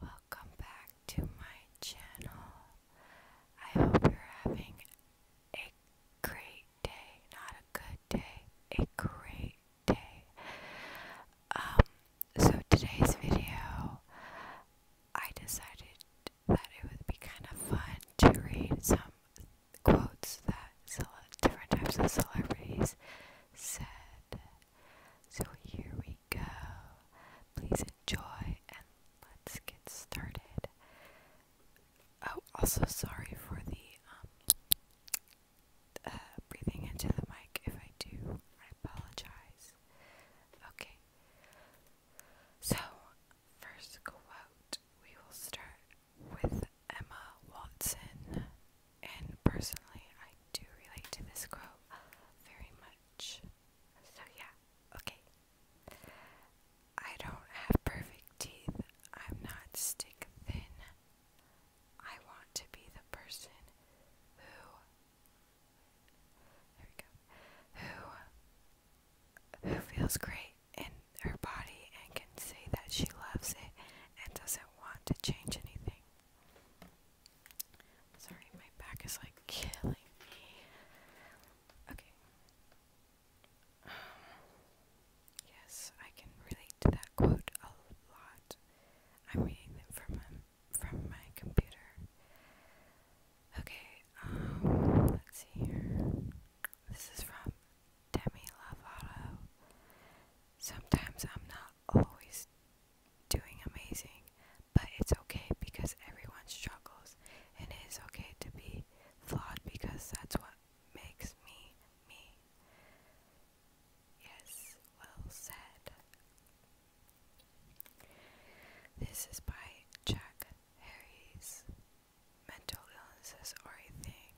Welcome back to my channel. I hope you're having a great day, not a good day, a great day. Um, so today's video, I decided that it would be kind of fun to read some quotes that different types of celebrities said so here we go. Please enjoy and let's get started. Oh, also sorry for the um uh, breathing into the mic if I do. I apologize. Okay. So, first quote, we will start with Emma Watson and personally, I do relate to this quote very much. So, yeah, okay. I don't have perfect teeth. I'm not stick thin. I want to be the person who. There we go. Who. Who feels great in her body and can say that she loves it and doesn't want to change anything. Sorry, my back is like killing me. Okay. Um, yes, I can relate to that quote a lot. I'm reading it from from my computer. Okay. Um, let's see here. This is from Demi Lovato. Sometimes I'm not always doing amazing, but it's okay because everyone struggles, and it is okay to be flawed because that's what makes me me. Yes, well said. This is by Jack Harry's Mental illnesses are a thing.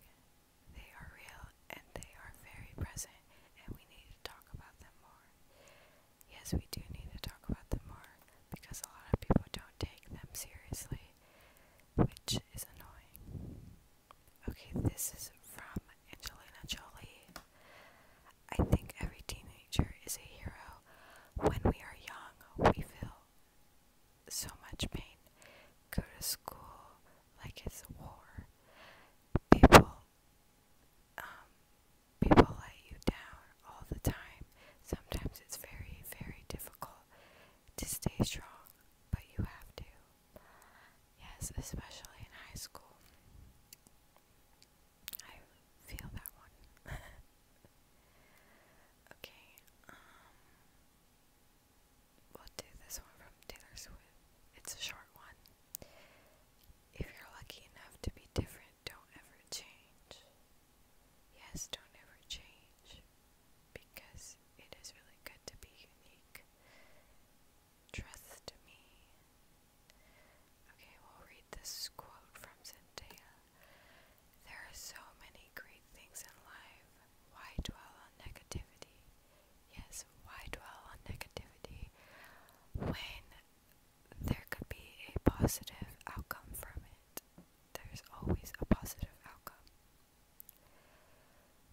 They are real and they are very present, and we need to talk about them more. Yes, we do need to talk about them more because a lot of people don't take them seriously, which is annoying. Okay, this is from Angelina Jolie. I think every teenager is a hero. When we are young, we feel so much pain. Go to school like it's a war. People um, people let you down all the time. Sometimes it's very, very difficult to stay strong, but you have to. Yes, especially in high school. I feel that one. okay, um, we'll do this one from Taylor Swift. It's a short one. If you're lucky enough to be different, don't ever change. Yes, don't ever change because it is really good to be unique. Trust me. Okay, we'll read this quote from Zendaya. There are so many great things in life. Why dwell on negativity? Yes, why dwell on negativity when there could be a positive outcome from it? There's always a positive outcome.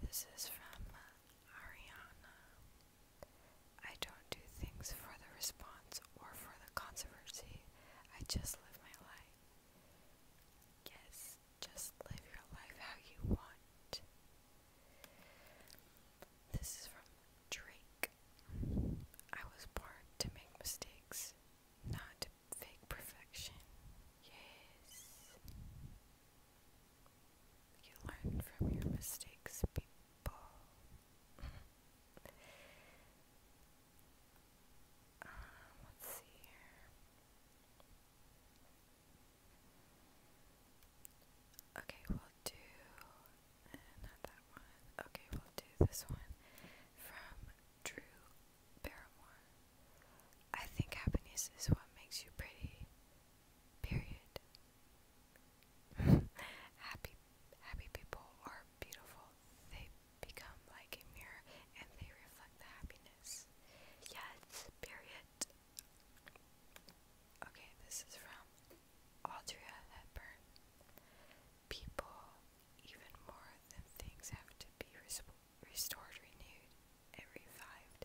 This is from Ariana. I don't do things for the response or for the controversy. I just live my life. Yes, just live your life how you want. This is from Drake. I was born to make mistakes, not fake perfection. Yes. You learn from your mistakes, people. Um, let's see here. Okay, we'll do eh, not that one. Okay, we'll do this one from Drew Barrymore. I think happiness is what makes you pretty. Period. happy happy people are beautiful. They become like a mirror and they reflect the happiness. Yes, period okay, this is from Audria Hepburn. People, even more than things, have to be restored, renewed, and revived,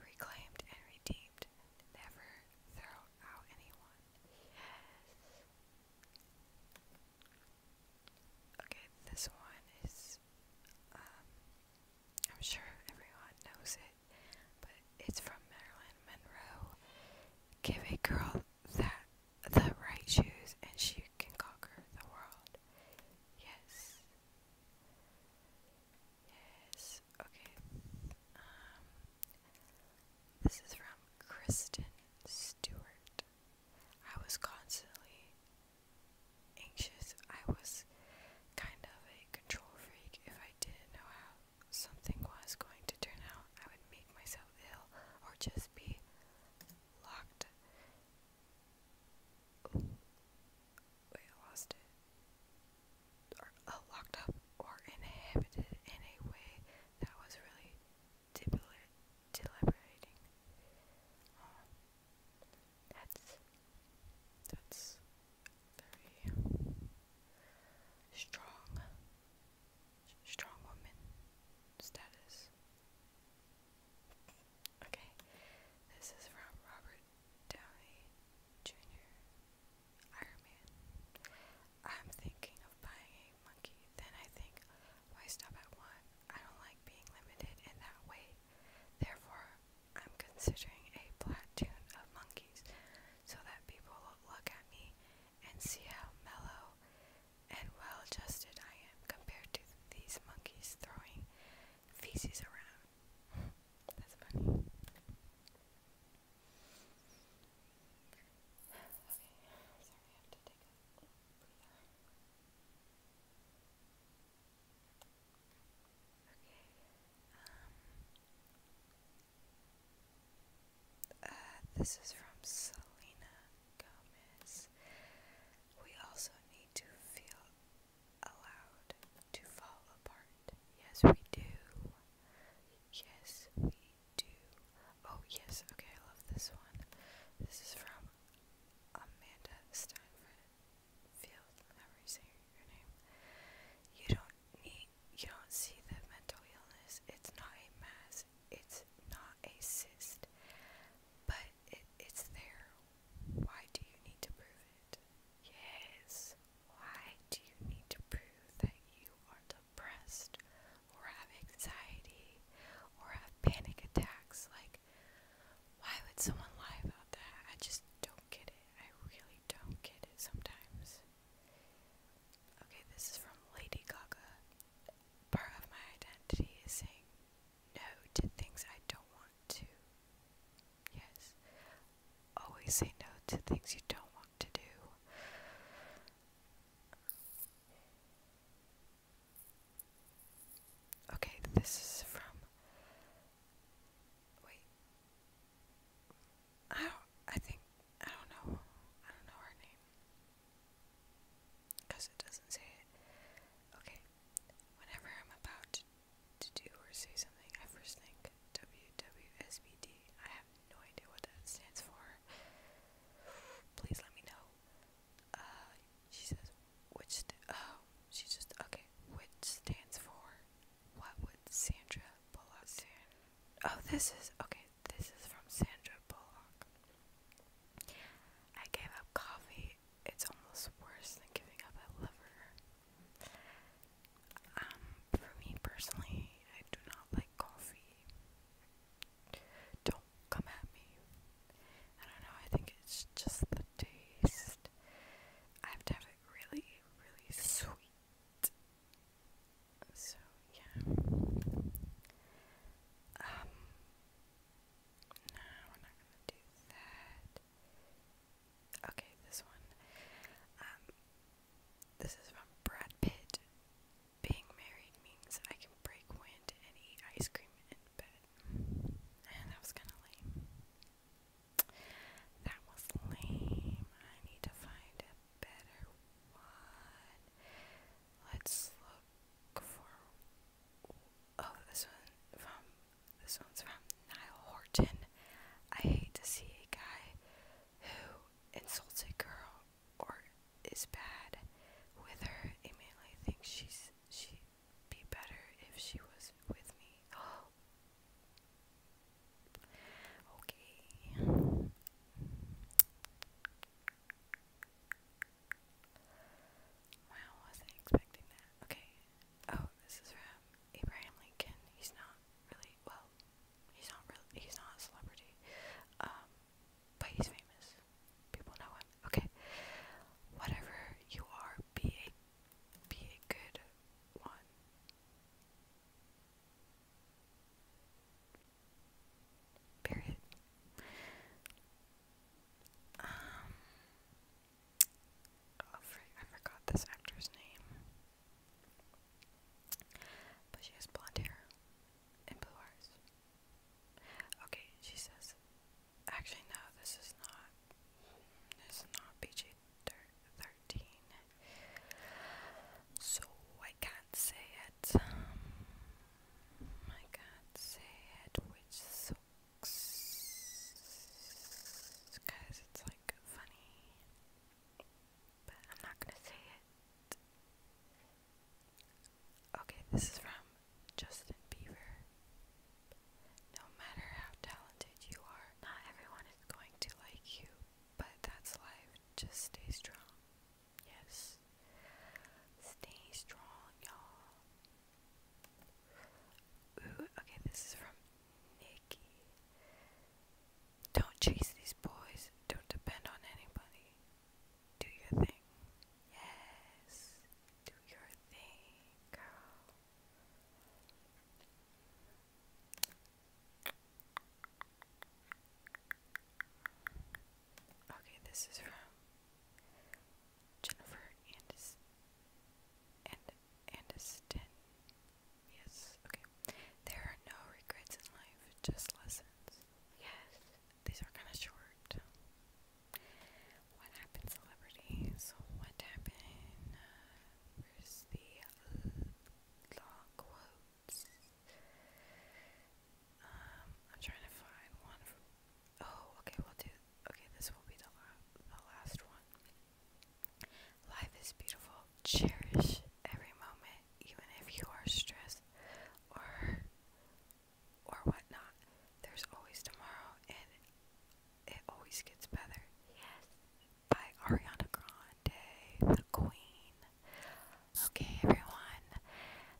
reclaimed, and redeemed. Never throw out anyone. Yes. Okay, this one is. Um, I'm sure everyone knows it but it's from Marilyn Monroe. Give a girl that the right shoes and she can conquer the world. Yes. Yes. Okay. Um this is from Kristen Stewart. I was constantly anxious. I was kind of a control freak if I I didn't know how something was going to turn out, I would make myself ill or just be locked. Wait, I lost it. Or uh, locked up or inhibited in a way that was really deliberating. that's that's very strong, strong woman status. Okay, this is from Robert Downey Jr. Iron Man. I'm thinking of buying a monkey. Then I think, why stop at one? I don't like being limited in that way. Therefore, I'm considering a platoon of monkeys so that people look at me and see how mellow and well adjusted I am compared to these monkeys throwing feces around. That's funny. Um, uh, this is from Selena Gomez. We also need to feel allowed to fall apart. Yes, we do. Yes, we do. Oh, yes, okay, I love this one. This is from Amanda Steinfeld field, however you say your name, you don't need, you don't see the mental illness. It's not a mass. It's not a cyst, but it's there. Why do you need to prove it? Yes. Why do you need to prove that you are depressed or have anxiety or have panic attacks? Like, why would someone lie about that? I just don't get it. I really don't get it sometimes. Okay, this is from Lady Gaga. Part of my identity is saying no to things I don't want to. Yes. Always say no to things you don't want to do. Okay, this is from. Wait, I don't, I think, I don't know, I don't know her name, because it doesn't say it, okay, whenever I'm about to, do or say something, I first think WWSBD, have no idea what that stands for, please let me know, uh, she says, which, oh, she just, okay, which stands for, what would Sandra Bullock do? Oh, this is okay. This is from Sandra Bullock. I gave up coffee. It's almost worse than giving up a lover. Um, for me personally, I do not like coffee. Don't come at me. I don't know. I think it's just the taste. I've never really, really sweet. So yeah. Um, no, we're not gonna do that. Okay, this one. Um, this is from Brad Pitt. Being married means I can break wind and eat ice cream in bed. And that was kinda lame. That was lame. I need to find a better one. Let's look for. Oh, this one This one's from Niall Horton. I hate to see a guy who insults a girl or is bad with her. I mainly she's she'd be better if she was with me. Oh, Okay. Wow, wasn't expecting that. Okay. Oh, this is from Abraham Lincoln. He's not really well. He's not really. He's not a celebrity. Um, but he's famous. People know him. Okay. Whatever you are, be a be a good one. Period. Um, oh, I forgot this actor's name, but she has blonde hair and blue eyes. Okay, she says. Actually, no, this is not. This is not BJ 2013. So I can't say it. I can't say it, which sucks. Because it's like funny. But I'm not gonna say it. Okay, this is from Justin Bieber. No matter how talented you are, not everyone is going to like you, but that's life. Just stay strong. Yes. Stay strong, y'all. Ooh, okay, this is from Nikki. Don't chase these boys. Don't depend on anybody. Do your thing. Yes. Do your thing, girl. Okay, this is from Jennifer Andis and Aniston. Yes, okay. There are no regrets in life, just lessons. Yes, these are kind of short. What happened, celebrities? What happened? Uh, Where's the long quotes? Um, I'm trying to find one from. Oh, okay, we'll do. Okay, this will be the, the last one. Life is beautiful. Cherish every moment, even if you are stressed or or whatnot. There's always tomorrow, and it always gets better. Yes, by Ariana Grande, The Queen. Okay, everyone,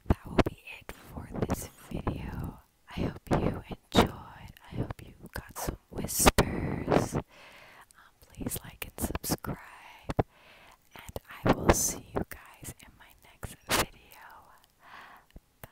that will be it for this video. I hope you enjoyed. I hope you got some whispers. Um, please like and subscribe. And I will see you guys in my next video. Bye.